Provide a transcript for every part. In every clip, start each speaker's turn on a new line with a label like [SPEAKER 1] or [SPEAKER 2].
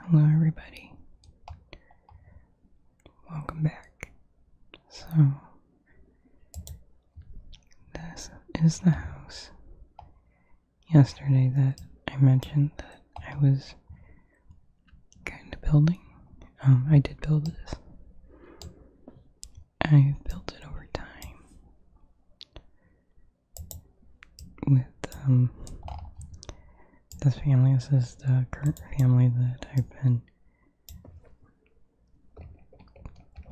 [SPEAKER 1] Hello, everybody. Welcome back. So, this is the house yesterday that I mentioned that I was kind of building. Um, I did build this, I built it over time with um, this family. This is the current family that I've been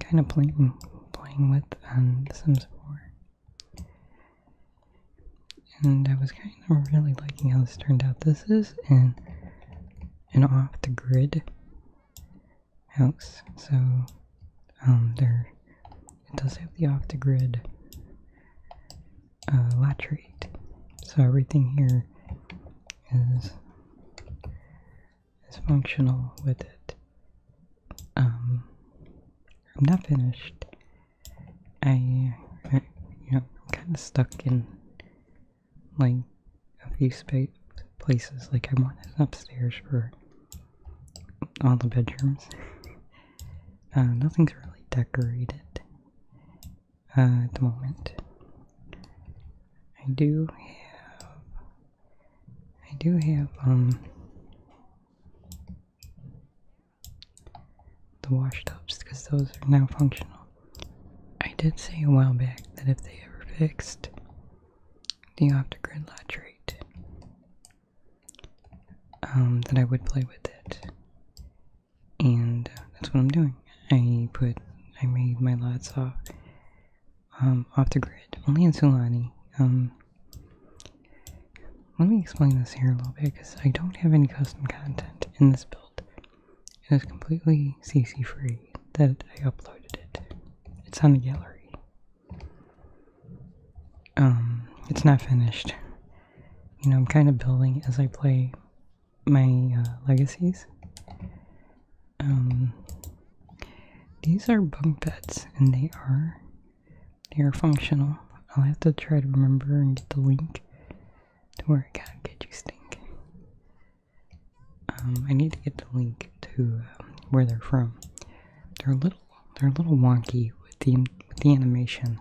[SPEAKER 1] kind of playing playing with on The Sims 4. And I was kind of really liking how this turned out. This is an an off the grid house, so um, they're it does have the off the grid uh, So everything here is is functional with it. Um, I'm not finished. I, you know, am kind of stuck in like a few space places. Like I want it upstairs for all the bedrooms. Uh, nothing's really decorated. Uh, at the moment. I do have, I do have, um, the washtubs because those are now functional. I did say a while back that if they ever fixed the off-the-grid latch rate, um, that I would play with it and that's what I'm doing. I put I made my lots off um off the grid, only in Sulani. Um, let me explain this here a little bit because I don't have any custom content in this build. It is completely CC free that I uploaded it. It's on the gallery. Um, it's not finished you know, I'm kind of building as I play my uh, legacies. Um, these are bunk beds, and they are they are functional. I'll have to try to remember and get the link to where I gotta get you stink. Um, I need to get the link to um, where they're from. They're a little they're a little wonky with the with the animation.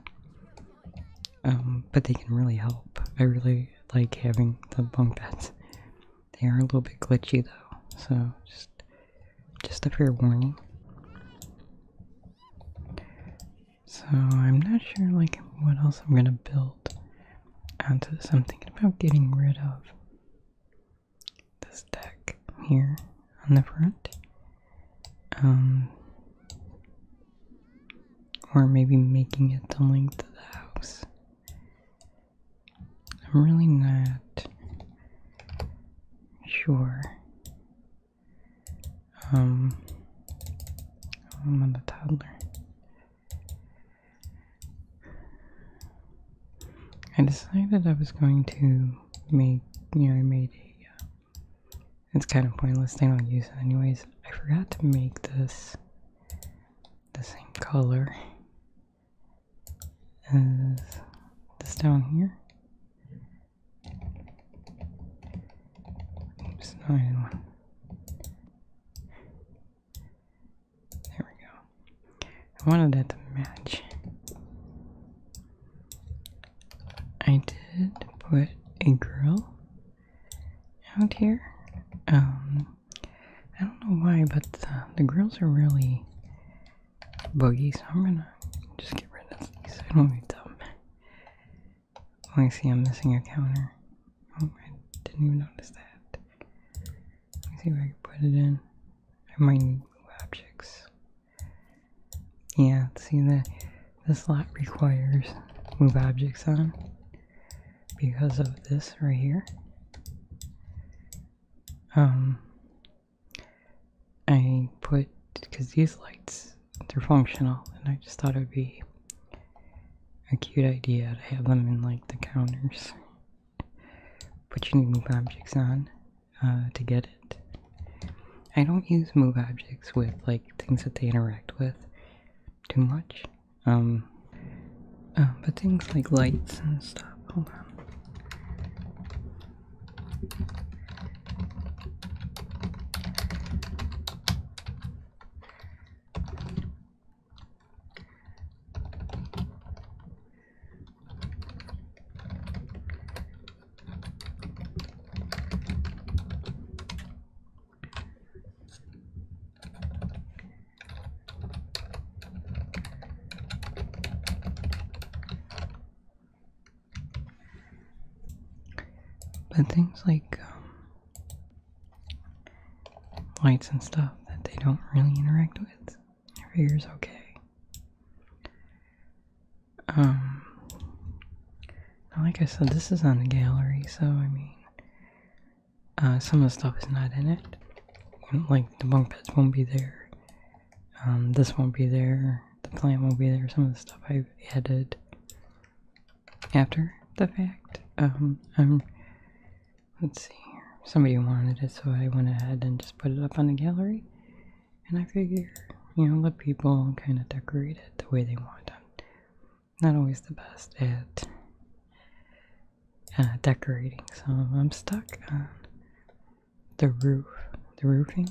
[SPEAKER 1] Um, but they can really help. I really like having the bunk beds. They are a little bit glitchy though, so just just a fair warning. So I'm not sure like what else I'm gonna build onto this. I'm thinking about getting rid of this deck here on the front um, or maybe making it the length of the house. I'm really not sure. Um, I'm on the toddler. I decided I was going to make, you know, I made a, uh, it's kind of pointless, they don't use it anyways. I forgot to make this the same color as this down here. Oops, no, I did There we go. I wanted that to match. I did put a grill out here. Um, I don't know why, but the, grills are really buggy, so I'm gonna just get rid of these. I don't need them. Oh, I see I'm missing a counter. Oh, I didn't even notice that. Let me see if I can put it in. I might need new objects. Yeah, see that this slot requires move objects on because of this right here. Um, I put, because these lights, they're functional, and I just thought it would be a cute idea to have them in like the counters. But you need move objects on uh, to get it. I don't use move objects with like things that they interact with too much. Um, uh, but things like lights and stuff. Hold on. But things like um, lights and stuff that they don't really interact with, I figure is okay. Um, like I said, this is on the gallery, so I mean, uh, some of the stuff is not in it. Like the bunk beds won't be there. Um, this won't be there. The plant won't be there. Some of the stuff i added after the fact. Um, Let's see Somebody wanted it, so I went ahead and just put it up on the gallery. And I figure, you know, let people kind of decorate it the way they want not always the best at uh, decorating, so I'm stuck on the roof, the roofing.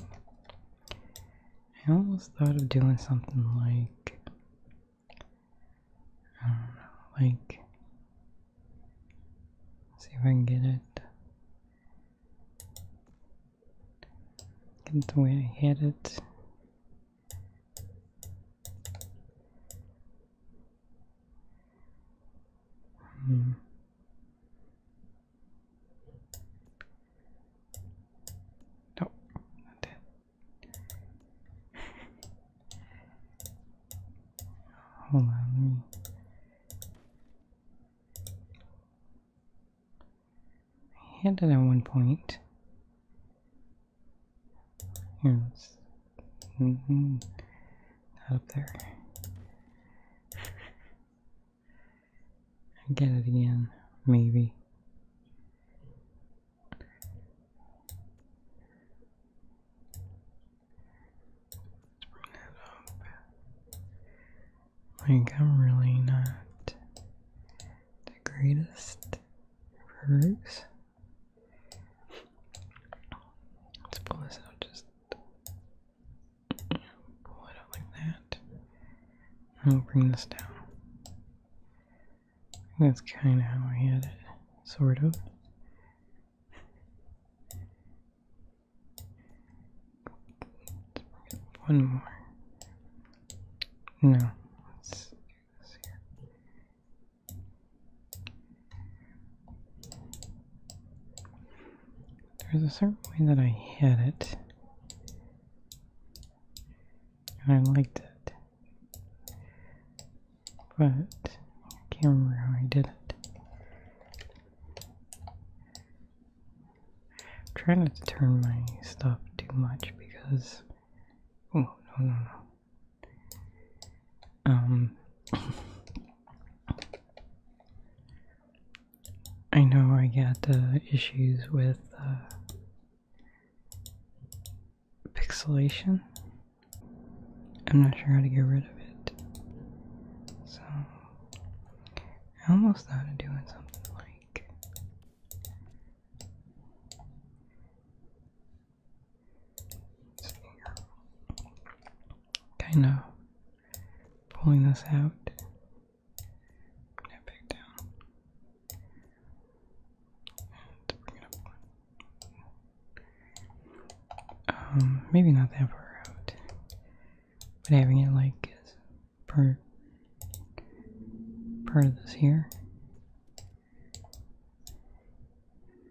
[SPEAKER 1] I almost thought of doing something like, I don't know, like, see if I can get it. Get the way I had it. Hmm. that. Hold on, me had it at one point. Here, -hmm. up there. get it again, maybe. Like, I'm really not the greatest rogues. Let's pull this out just pull it out like that. i bring this down. That's kind of how I had it, sort of. One more. No. There's a certain way that I had it. And I liked it. But I can't remember how I did it. I'm trying not to turn my stuff too much because Oh, no, no, no. Um, I know I got uh, issues with uh, pixelation. I'm not sure how to get rid of it. So, I almost thought of doing something like Kind of pulling this out. Um, maybe not that far out, but having it like per part of this here.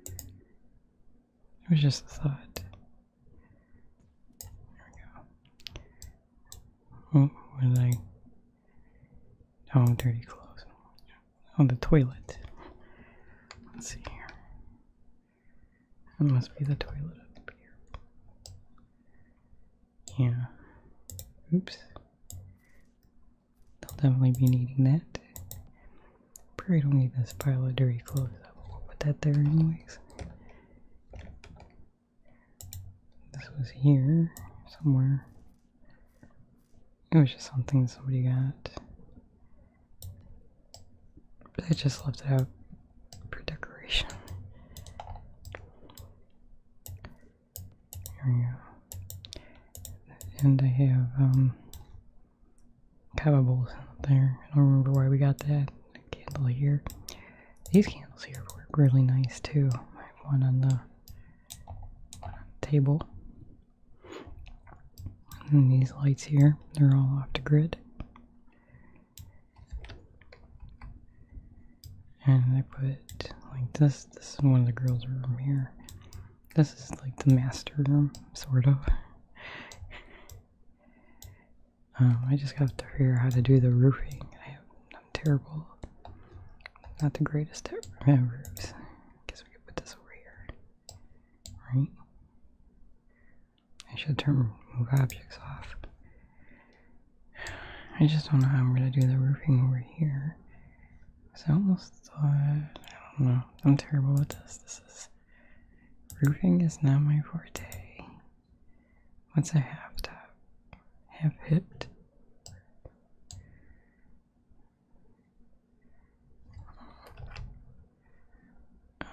[SPEAKER 1] It was just a thought. There we go. Oh, what did I? Oh, i dirty clothes. On oh, the toilet. Let's see here. That must be the toilet up here. Yeah. Oops. They'll definitely be needing that. Probably don't need this pile of dirty clothes. i will put that there anyways. This was here somewhere. It was just something somebody got. I just left it out for decoration. And I have um, cabables there. I don't remember why we got that candle here. These candles here work really nice too. I have one on the, one on the table. And these lights here, they're all off the grid and I put like this. This is one of the girls' room here. This is like the master room, sort of. Um, I just have to figure out how to do the roofing. I have, I'm terrible. Not the greatest at roofs. Guess we could put this over here, right? I should turn move objects off. I just don't know how I'm gonna do the roofing over here. I almost thought, I don't know, I'm terrible at this. This is, roofing is not my forte. Once I have that, have hit.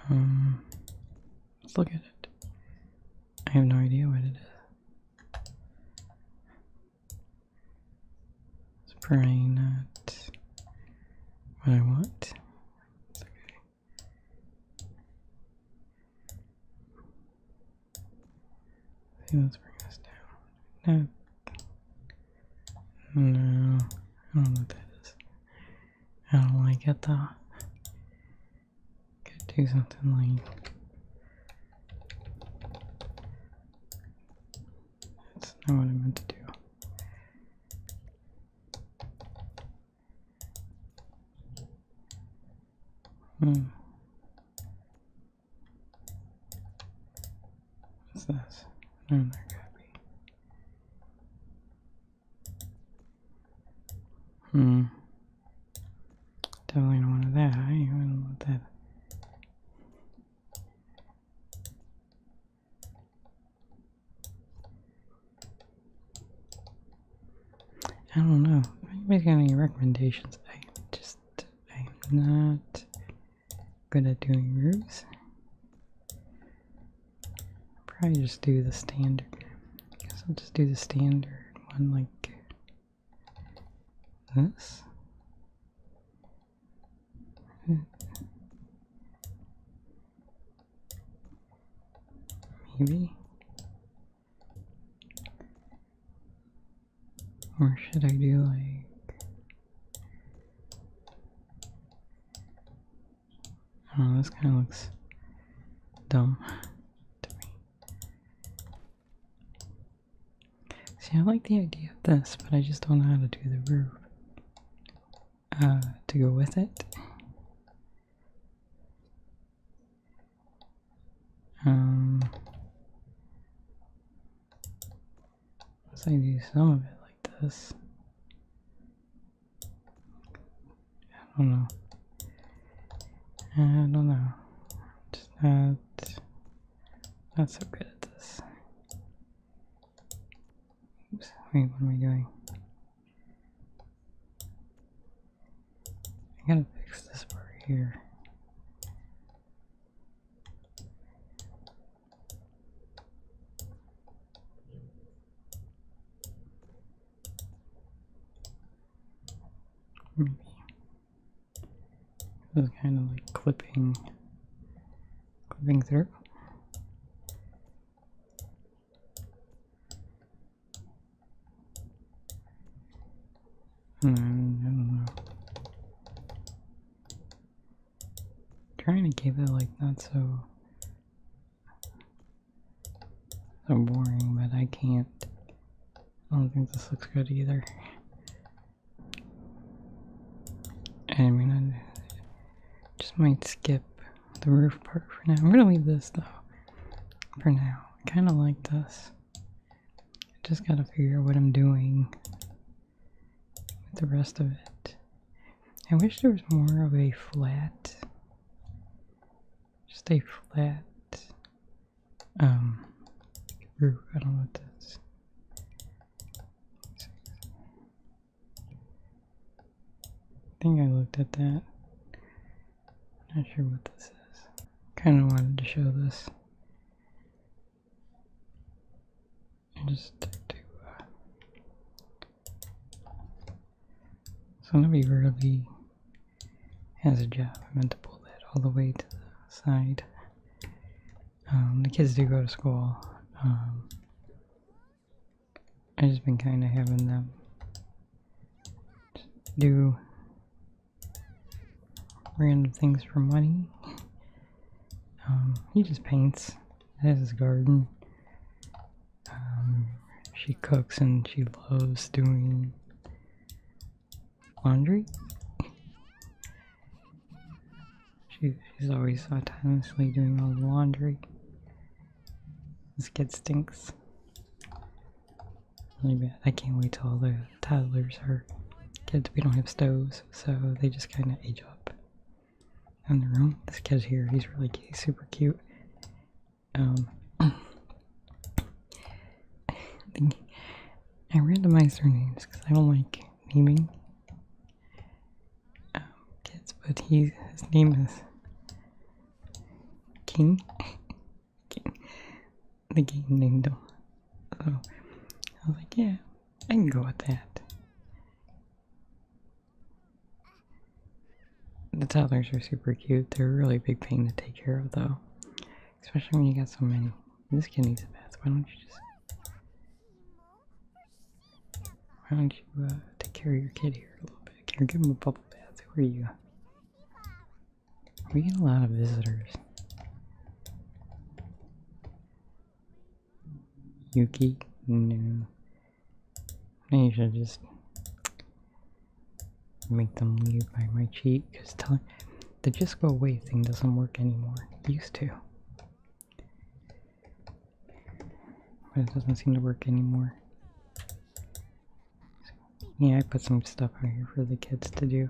[SPEAKER 1] Um, let's look at it. I have no idea what it is. It's probably not what I want. okay. let's bring this down. No. No. I don't know what that is. I don't like it though. Could do something like that's not what I meant to do. Hmm. What's this? No, there got Hmm. Definitely don't want it that high. You not want that. I don't know. Anybody's got any recommendations? I just I'm not good at doing roofs. Probably just do the standard. I'll just do the standard one like this. Hmm. Maybe. Or should I do like I oh, this kinda looks dumb See, I like the idea of this, but I just don't know how to do the roof uh, to go with it. Um, unless I do some of it like this. I don't know. I don't know. It's not not so good at this. wait, what am I doing? I gotta fix this part here. This kind of like clipping, clipping through. Hmm, I don't know. Trying to keep it like not so so boring, but I can't. I don't think this looks good either. I mean, I just might skip the roof part for now. I'm gonna leave this though for now. I kind of like this. I just gotta figure out what I'm doing with the rest of it. I wish there was more of a flat, Stay flat um, I don't know what this. I think I looked at that. Not sure what this is. Kind of wanted to show this. And just to. Uh, so nobody really has a job. I meant to pull that all the way to the side. Um, the kids do go to school. Um, I've just been kind of having them do random things for money. Um, he just paints. He has his garden. she cooks and she loves doing laundry. she's always autonomously doing all the laundry. This kid stinks. I can't wait till all the toddlers are kids. We don't have stoves, so they just kind of age up on their own. This kid here, he's really cute, super cute. Um, I randomized their names because I don't like naming um, kids, but he his name is King. The game named him. I was like, yeah, I can go with that. The toddlers are super cute. They're a really big pain to take care of, though. Especially when you got so many. This kid needs a bath. Why don't you just why don't you uh, take care of your kid here a little bit? Here, give him a bubble bath. Who are you? We get a lot of visitors. Yuki? No. Maybe you should just make them leave by my cheek because telling the just go away thing doesn't work anymore. used to. But it doesn't seem to work anymore. yeah, I put some stuff out here for the kids to do.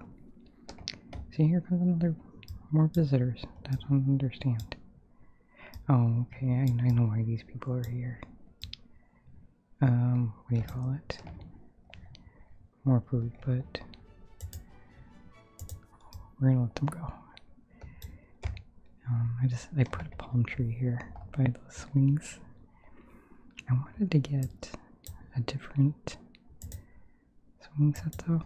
[SPEAKER 1] See, here comes another more visitors. That's I don't understand. Oh, okay, I, I know why these people are here. Um, what do you call it? more food, but we're gonna let them go. Um, I just I put a palm tree here by those swings. I wanted to get a different swing set though.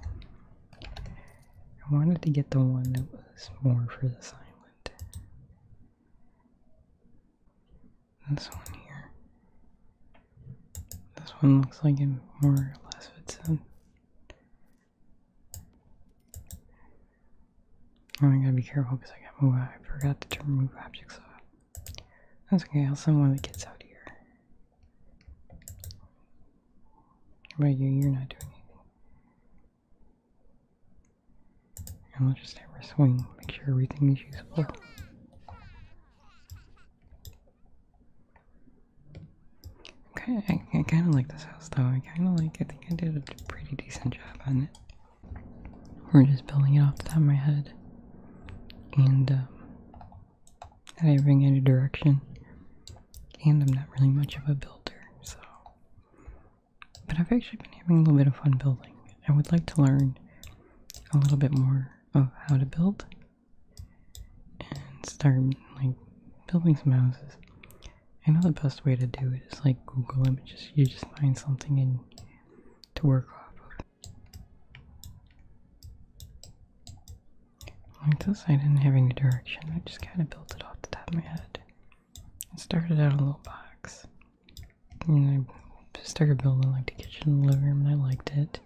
[SPEAKER 1] I wanted to get the one that was more for this island. This one here. This one looks like it more or less fits in. I gotta be careful because I got move. I forgot to remove objects off. That's okay. I'll send one of the kids out here. But you, you're not doing anything. And we'll just have her swing. Make sure everything is usable. Okay, I, kind of like this house though. I kind of like. I think I did a pretty decent job on it. We're just building it off the top of my head, and um, I do not bring any direction. And I'm not really much of a builder, so. But I've actually been having a little bit of fun building. I would like to learn a little bit more of how to build and start like building some houses. I know the best way to do it is like Google Images. You just find something and to work off of. Like this, I didn't have any direction. I just kind of built it off the top of my head. It started out a little box, and I started building like the kitchen and the living room, and I liked it.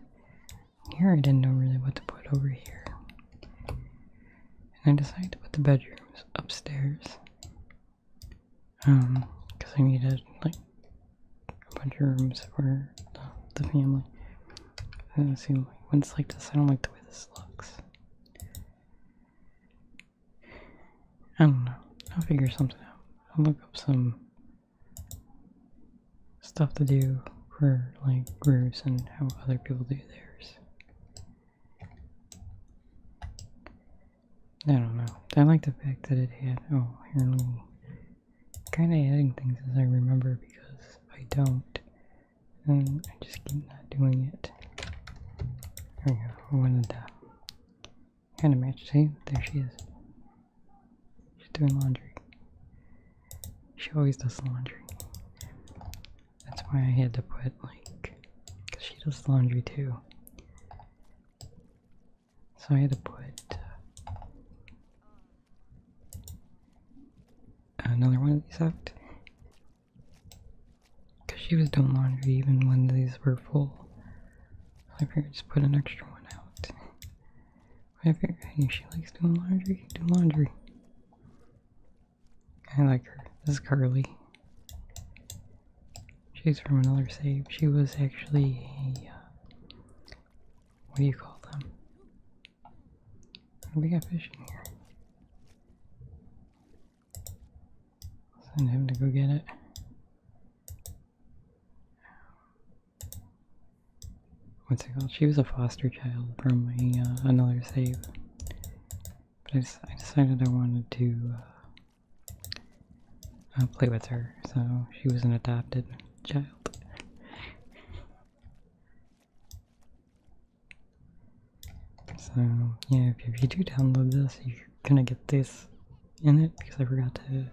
[SPEAKER 1] Here I didn't know really what to put over here. And I decided to put the bedrooms upstairs. Um, because I needed like a bunch of rooms for the, the family. And it seemed like when it's like this, I don't like the way this looks. I don't know. I'll figure something out. I'll look up some stuff to do for like groups and how other people do theirs. I don't know. I like the fact that it had oh here we me kinda adding things as I remember because I don't and I just keep not doing it. There we go. I wanted to kind of match see there she is. She's doing laundry. She always does laundry. That's why I had to put, like, she does laundry too. So I had to put uh, another one of these out. Because she was doing laundry even when these were full. So I figured just put an extra one out. I figure, hey, she likes doing laundry, do laundry. I like her. This is Carly. She's from another save. She was actually a, uh, what do you call them? We got fish in here. Send him to go get it what's it called? She was a foster child from a, uh, another save. But I, decided I wanted to uh, uh, play with her, so she was an adopted child. so, yeah, if, you do download this, you're gonna get this in it because I forgot to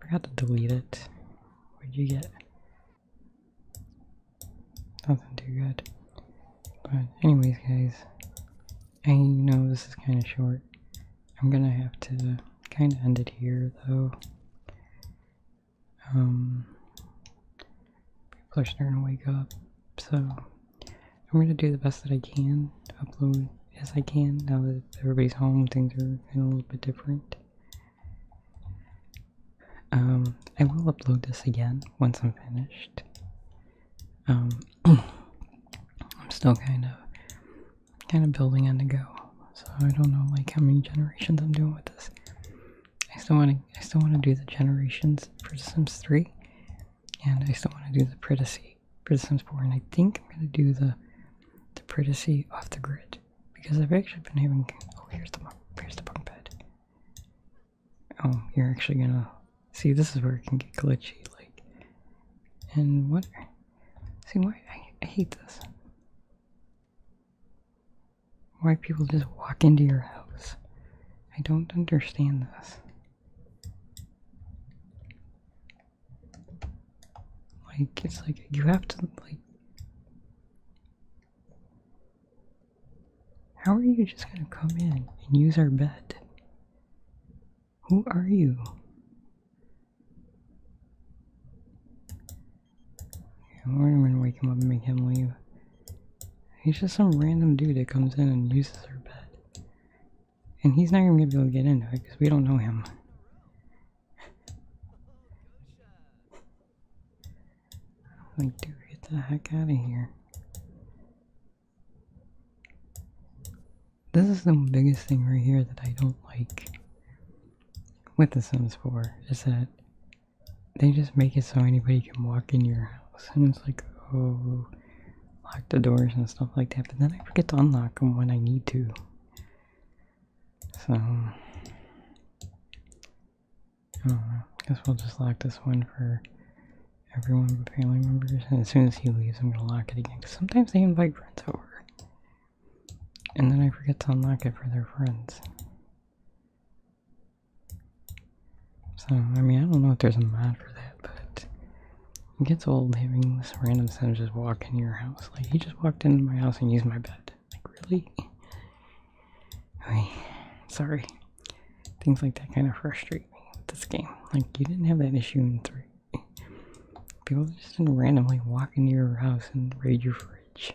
[SPEAKER 1] forgot to delete it. What'd you get? Nothing too good. But anyways guys, I know this is kind of short. I'm gonna have to kind of end it here though. Um, people are starting to wake up, so I'm gonna do the best that I can, upload as I can now that everybody's home, things are a little bit different. Um, I will upload this again once I'm finished. Um, I'm still kind of, kind of building on the go, so I don't know like how many generations I'm doing with this. I still want to, I still want to do the generations for Sims 3, and I still want to do the Pridacy for Sims 4, and I think I'm gonna do the, the Pridacy off the grid. Because I've actually been having. Oh, here's the here's the bunk bed. Oh, you're actually gonna see. This is where it can get glitchy. Like, and what? See, why I, I hate this. Why people just walk into your house? I don't understand this. Like, it's like you have to like. How are you just gonna come in and use our bed? Who are you? I'm gonna wake him up and make him leave. He's just some random dude that comes in and uses our bed. And he's not even gonna be able to get into it because we don't know him. Like, dude, get the heck out of here. This is the biggest thing right here that I don't like with The Sims 4 is that they just make it so anybody can walk in your house and it's like, oh, lock the doors and stuff like that, but then I forget to unlock them when I need to. So, I don't know. Guess we'll just lock this one for everyone but family members. And as soon as he leaves, I'm gonna lock it again. Cause sometimes they invite friends over, and then I forget to unlock it for their friends. So I mean, I don't know if there's a mod for that, but it gets old having this random son just walk in your house. Like he just walked into my house and used my bed. Like, really? Sorry. Things like that kind of frustrate me with this game. Like, you didn't have that issue in 3. People just did randomly walk into your house and raid your fridge.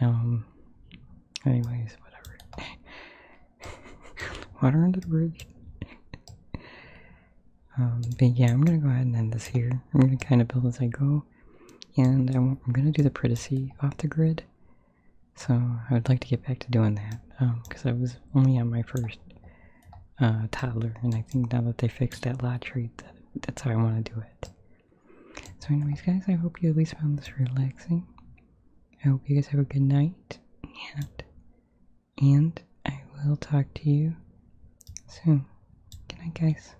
[SPEAKER 1] Um, anyways, whatever. Water under the bridge. Um, but yeah, I'm gonna go ahead and end this here. I'm gonna kind of build as I go and I'm, gonna do the privacy off the grid. So I would like to get back to doing that because um, I was only on my first uh, toddler, and I think now that they fixed that lot treat, that's how I want to do it. So, anyways, guys, I hope you at least found this relaxing. I hope you guys have a good night, and and I will talk to you soon. Good night, guys.